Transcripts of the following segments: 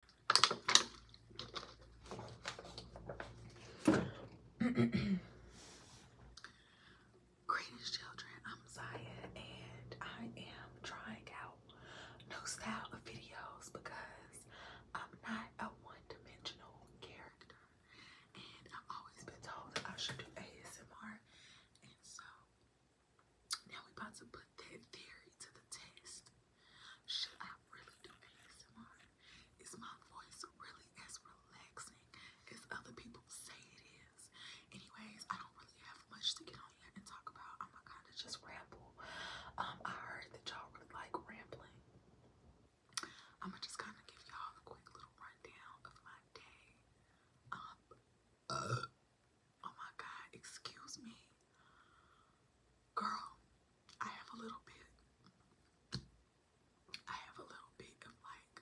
Greetings, children. I'm Zaya, and I am trying out new style of videos because I'm not a one-dimensional character, and I've always been told that I should do ASMR, and so now we're about to put that theory to the test. Should I really do ASMR? Is my voice really as relaxing as other people say it is? Anyways, I don't really have much to get on here and talk about. I'm gonna kind of just ramble. Um, I heard that y'all really like rambling. I'm gonna just kind of give y'all a quick little rundown of my day. uh, Oh my God, excuse me. Girl, I have a little bit, I have a little bit of like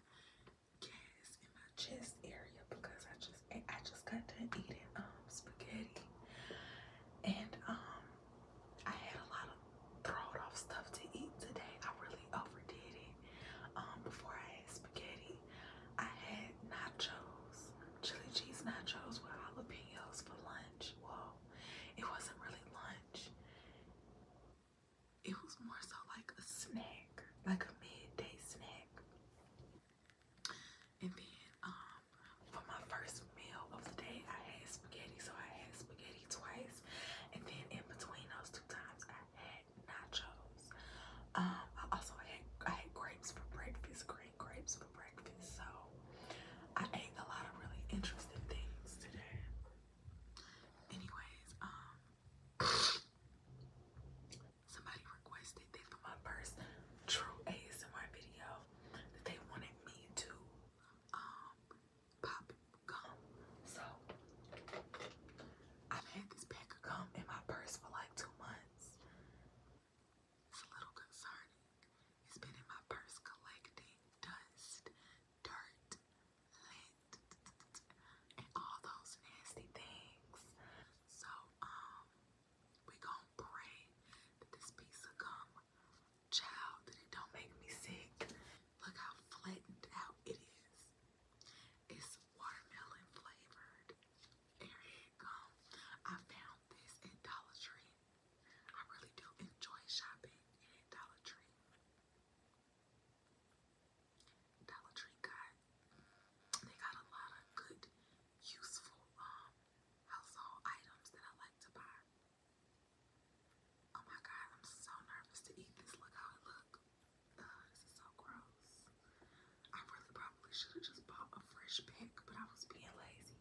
gas in my chest area because I just, I just got done eating um spaghetti and um, I had a lot of thrown off stuff to eat today. I really overdid it. Um, before I had spaghetti, I had nachos chili cheese nachos with jalapenos for lunch. Well, it wasn't really lunch. It was more so like a snack, like a midday snack. And then um for my first meal of the day I had spaghetti, so I had spaghetti twice. And then in between those two times I had nachos. Um I also had I had grapes for breakfast, grapes grapes for breakfast. So I ate a lot of really interesting things today. Anyways, um somebody requested that for my first true ASMR video that they wanted me to um pop gum. So I've had this pack of gum in my purse for like two months. It's a little concerning. It's been in my purse collecting dust, dirt, lint, and all those nasty things. So, um, we gonna pray that this piece of gum, child, that it don't make me sick. Look how flattened out it is. It's watermelon flavored. There it comes. I found this at Dollar Tree. I really do enjoy shopping at Dollar Tree. Dollar Tree got they got a lot of good, useful um household items that I like to buy. Oh my god, I'm so nervous to eat this. Look how it look. this is so gross. I really probably should have just bought a fresh pack, but I was being lazy.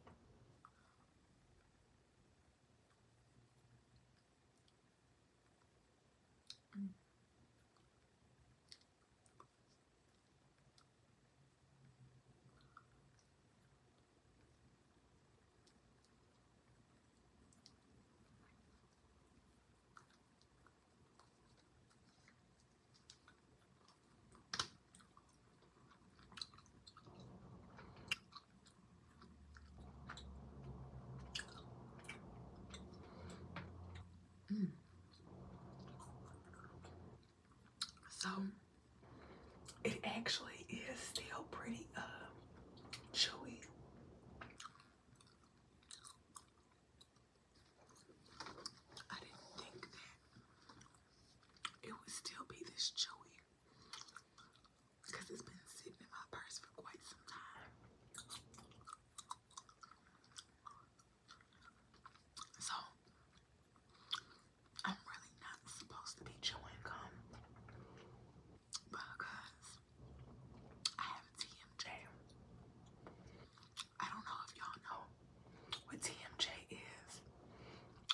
Mm. So it actually is still pretty uh, chewy. I didn't think that it would still be this chewy because it's been sitting in my purse for quite some time. So, I'm really not supposed to be chewing gum because I have TMJ. I don't know if y'all know what TMJ is,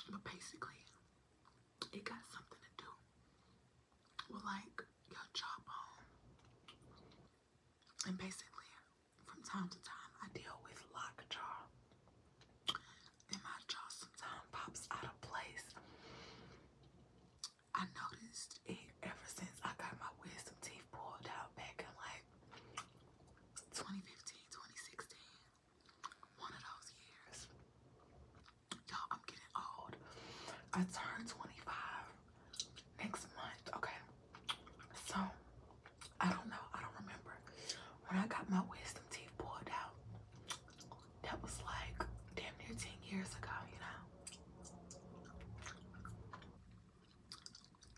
but basically, it got something to do with like your jawbone. Um, and basically, from time to time, I deal with lockjaw. And my jaw sometimes pops out of place. I noticed it ever since I got my wisdom teeth pulled out back in like 2015, 2016, one of those years. Y'all, I'm getting old. I turned 25 next month, okay? So, I don't know, I don't remember. When I got my wisdom teeth pulled out, that was like damn near 10 years ago, you know?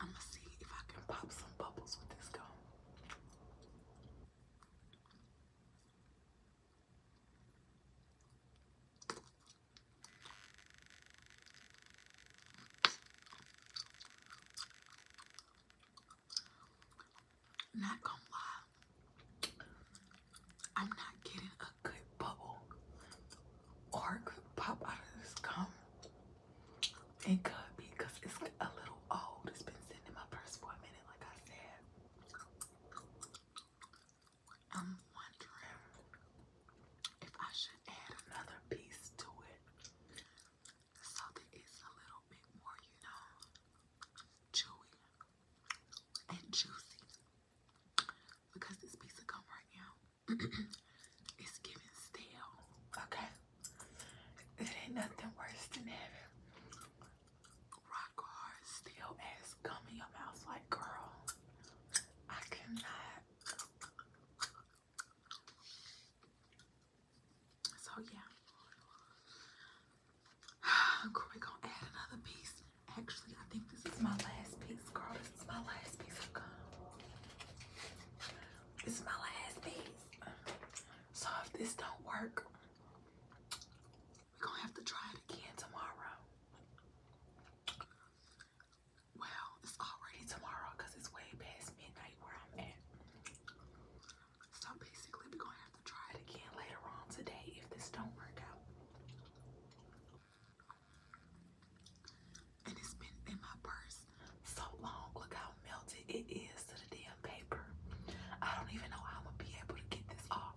I'm gonna see if I can pop some bubbles with this gum. Not gonna lie, I'm not getting a good bubble or could pop out of this gum. It could be because it's a little old. It's been sitting in my purse for a minute, like I said. I'm wondering if I should add another piece to it so that it's a little bit more, you know, chewy and juicy. Because this piece of gum right now it's giving stale, okay? It ain't nothing worse than having rock hard stale ass gum in your mouth. Like, girl, I cannot. So, yeah. i going to add another piece. Actually, I think this is my last piece, girl. This is my last piece of gum. This is my last piece. So if this don't work, we're gonna have to try it again tomorrow. Well, it's already tomorrow because it's way past midnight where I'm at. So basically, we're gonna have to try it again later on today if this don't work out it's been in my purse so long. Look how melted it is to the damn paper. I don't even know how I'm be able to get this off.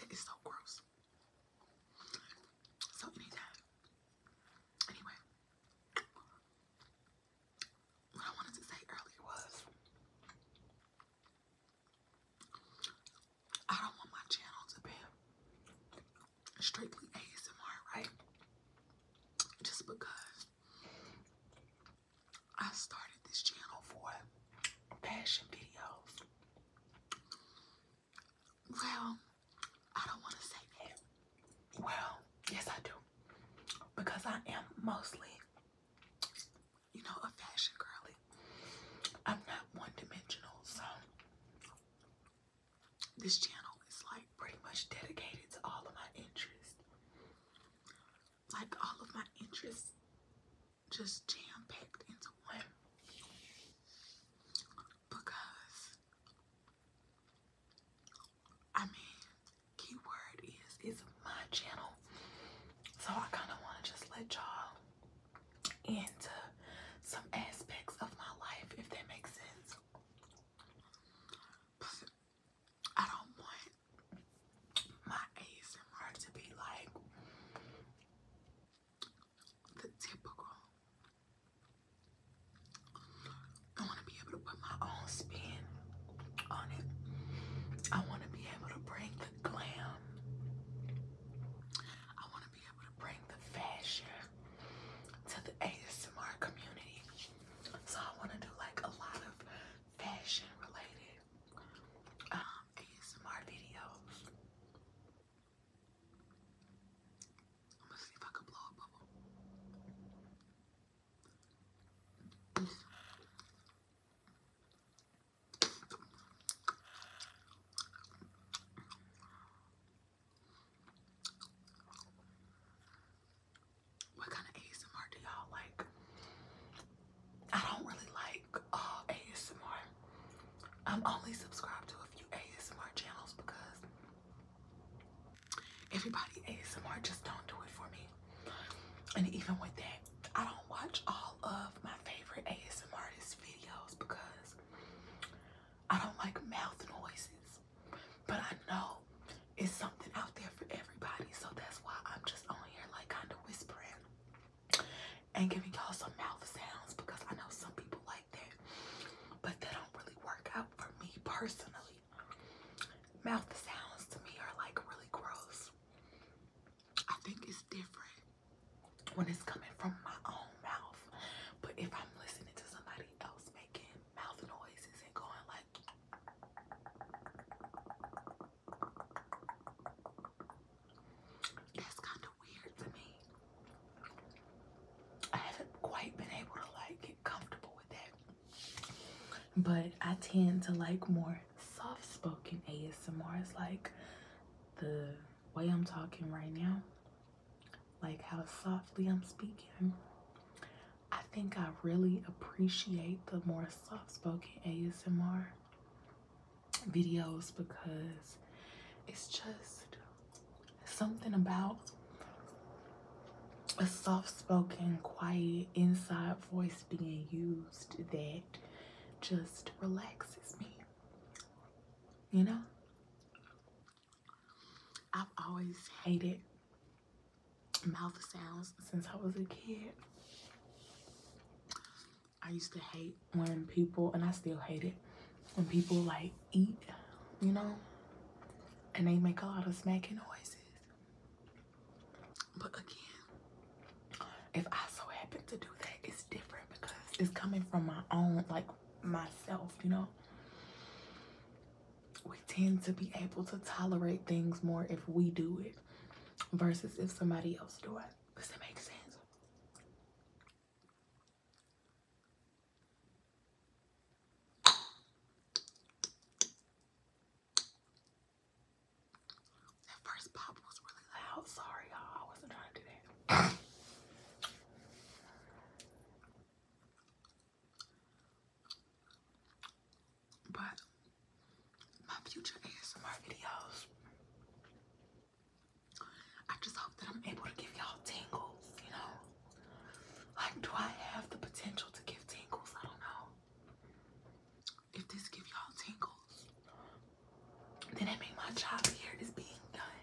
It is so gross house. So anytime. Anyway. What I wanted to say earlier was I don't want my channel to be strictly ASMR, right? Just because I started this channel for passion videos. Well, I don't want to say that. Well, yes, I do. Because I am mostly, you know, a fashion girly. I'm not one dimensional, so this channel is like pretty much dedicated to all of my interests. Like all of my interests just jam packed into one because I mean, keyword is it's my channel, so I kind of want to just let y'all into some aspects of my life if that makes sense. I don't want my ASMR to be like the typical. I want to be able to put my own spin on it. I want to be able to bring the glam. I want to be able to bring the fashion to the ASMR community. So I want to do like a lot of fashion related um, ASMR videos. I'm gonna see if I can blow a bubble. What kind of ASMR do y'all like? I don't really like like uh, ASMR. I'm only subscribed to a few ASMR channels because everybody ASMR just don't do it for me. And even with that, I don't watch all of my favorite ASMR artists' videos because I don't like mouth noises. But I know it's something out there for everybody, so that's why I'm just on here like kind of whispering and giving y'all some mouth sounds because I know some people like that, but they don't really work out for me personally. Mouth sounds to me are like really gross. I think it's different when it's coming from my own mouth, but if I'm listening to somebody else making mouth noises and going like that's kind of weird to me. I haven't quite been able to like get comfortable with that. But I tend to like more soft spoken ASMR. It's like the way I'm talking right now, like how softly I'm speaking. I think I really appreciate the more soft spoken ASMR videos because it's just something about a soft-spoken, quiet, inside voice being used that just relaxes me. You know? I've always hated mouth sounds since I was a kid. I used to hate when people, and I still hate it, when people like eat, you know, and they make a lot of smacking noises. But again, if I so happen to do that, it's different because it's coming from my own, like myself, you know. We tend to be able to tolerate things more if we do it versus if somebody else do it. Does it make sense. That first pop was really loud. Sorry, y'all. I wasn't trying to do that. but my future ASMR videos. I just hope that I'm able to give y'all tingles, you know? Like, do I have the potential to give tingles? I don't know. If this give y'all tingles, then that make my job here is being done.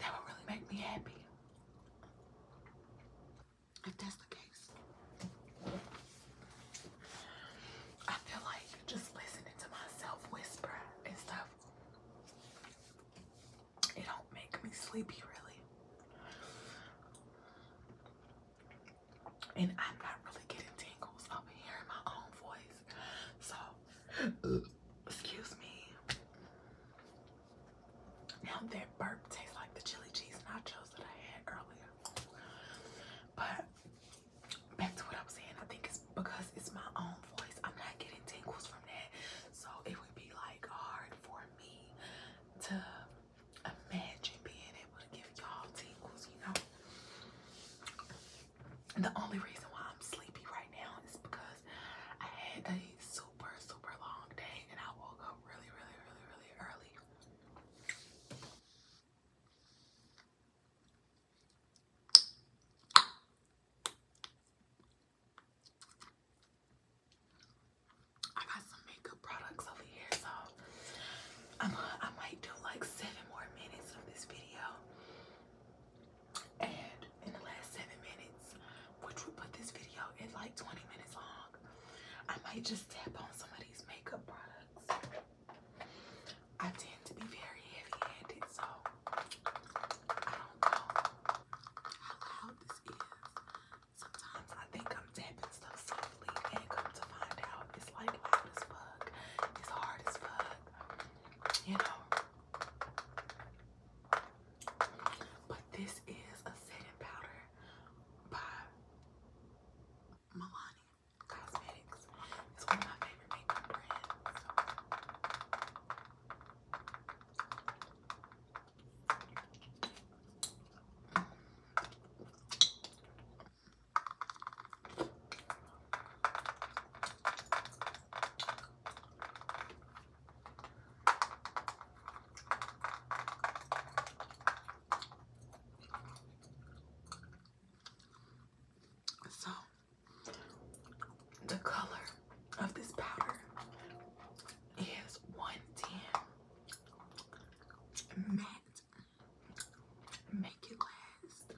That would really make me happy. that's the I feel like just listening to myself whisper and stuff. It don't make me sleepy really. And I'm not really getting tingles of hearing my own voice. So excuse me. Now that burp tastes like the chili cheese nachos that I had earlier. But back to what I'm saying, I think it's because it's my own voice. I'm not getting tingles from that. So it would be like hard for me to imagine being able to give y'all tingles, you know. The only reason why I'm sleepy right now is because I had a super, super long day and I woke up really, really, really, really early. I got some makeup products over here, so I'm, I might do like seven more minutes of this video. And in the last seven minutes, which would put this video at like 20 minutes long, I might just tap on some of these makeup products. I tend to be very heavy-handed, so I don't know how loud this is. Sometimes I think I'm tapping stuff softly and come to find out it's like loud as fuck. It's hard as fuck. You know. But this is a setting powder by Milani Cosmetics is one of my favorite makeup brands. So, the color of this powder is 110 matte. Make it last.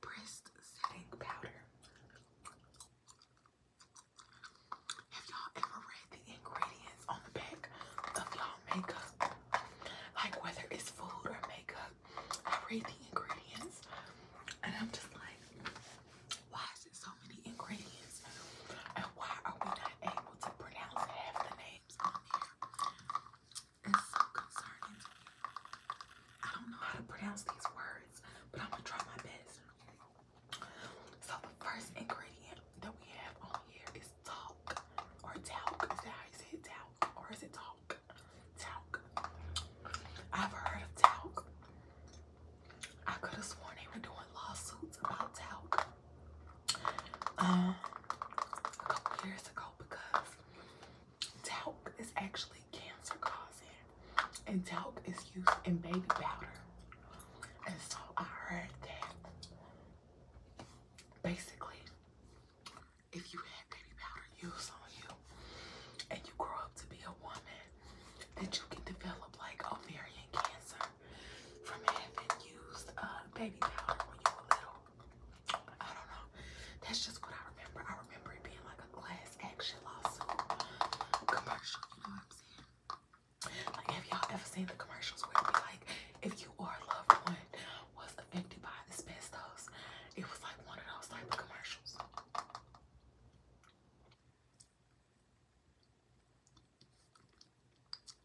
Pressed setting powder. Have y'all ever read the ingredients on the back of y'all makeup? Like whether it's food or makeup, I read the ingredients and I'm just like, why is it so many ingredients? And why are we not able to pronounce half the names on there? It's so concerning I don't know how to pronounce these words, but I'm gonna try my best. So the first ingredient that we have on here is talc or talc. Is that it? Talc or is it talc? Talc. I've heard of talc. I could have sworn they were doing lawsuits about talc um, a couple because talc is actually cancer causing, and talc is used in baby powder. And so I heard that basically, if you had baby powder used on you and you grow up to be a woman, that you can develop like ovarian cancer from having used uh, baby powder when you were little. I don't know. That's just what I remember. I remember it being like a class action lawsuit commercial. You know what I'm saying? Like, have y'all ever seen the commercials where it's like, if you or a loved one was affected by asbestos, it was like one of those type of commercials.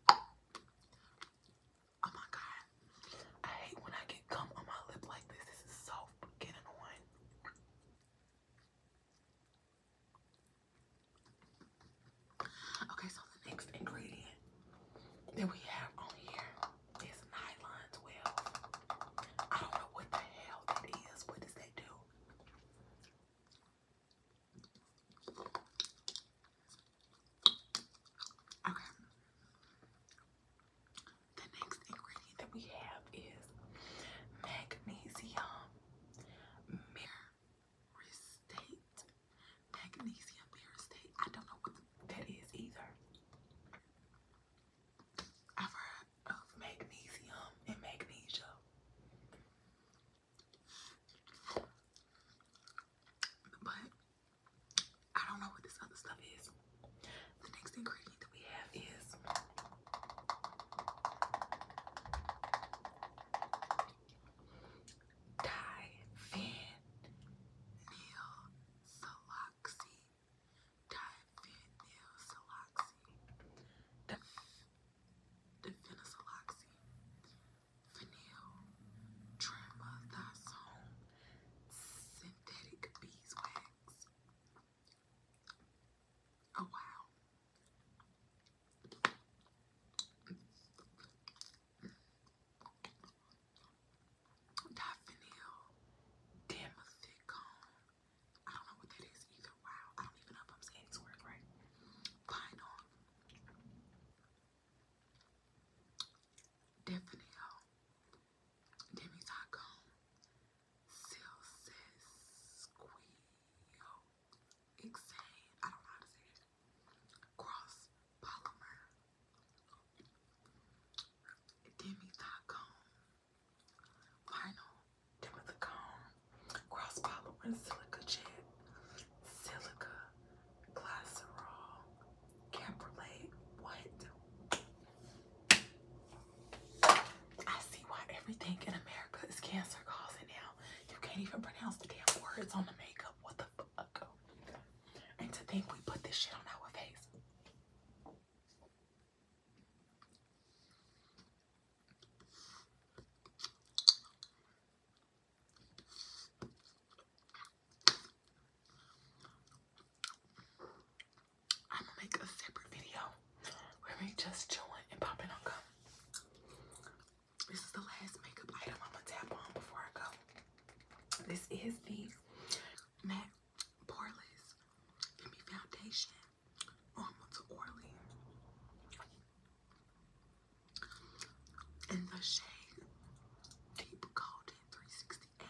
Oh my god. I hate when I get gum on my lip like this. This is so freaking annoying. Okay, so the next ingredient that we have on here is nylon 12. I don't know what the hell that is. What does that do? Okay. The next ingredient that we have is magnesium. Mir State, magnesium pyristate. I don't know what that is either. I've heard of magnesium and magnesia. But I don't know what this other stuff is. The next ingredient that we have is Di Van Neil Saloxy. Di Van Neil Saloxy. The, the Venisaloxy. Vanille. Tremethazone. Synthetic beeswax. Oh wow. Daffodil. Damn a I don't know what that is either. Wow. I don't even know if I'm saying it's word right. Vinyl. Daffodil. Demi taco. Silsis squeal. Exane, I don't know how to say it. Cross polymer. demi Vinyl. demi Cross polymer silica jet. Silica. Glycerol. Camperlate. What? I see why everything in America is cancer causing now. You can't even pronounce the damn words on the makeup. What the fuck? And to think we put this shit on our face. I'm gonna make a separate video where we just chilling and popping on This is the last makeup item I'm gonna tap on before I go. This is the Matte Poreless Femi Foundation Normal to Orly. In the shade Deep Golden 368.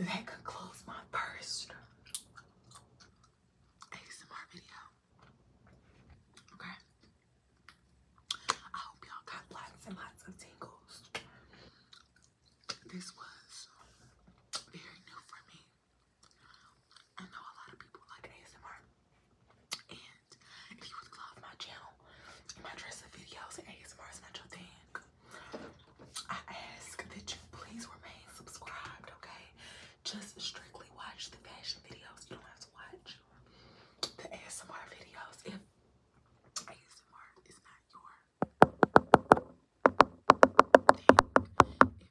That concludes my first ASMR video. Okay. I hope y'all got lots and lots of tingles. This was very new for me. I know a lot of people like ASMR, and if you would love my channel and my dressing videos and not your thing, I ask that you please remain subscribed, okay? Just strictly watch the fashion videos. You don't have to watch the ASMR videos if ASMR is not your If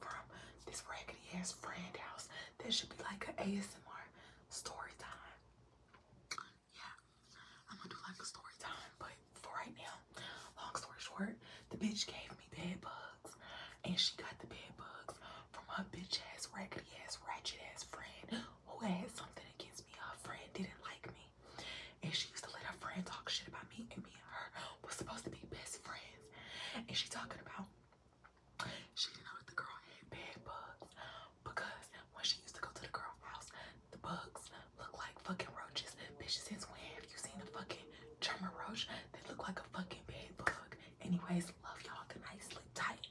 from this raggedy ass friend house. this should be like an ASMR story time. Yeah, I'm gonna do like a story time, but for right now, long story short, the bitch gave me bed bugs, and she got the bed bugs from her bitch ass, raggedy ass, ratchet ass friend who had something against me. Her friend didn't like me, and she used to let her friend talk shit about me, and me and her was supposed to be best friends friends and she talking about she didn't know that the girl had bad bugs because when she used to go to the girl house, the bugs look like fucking roaches. Bitch, since when have you seen a fucking German roach They look like a fucking bad bug? Anyways, love y'all. Good I Sleep tight.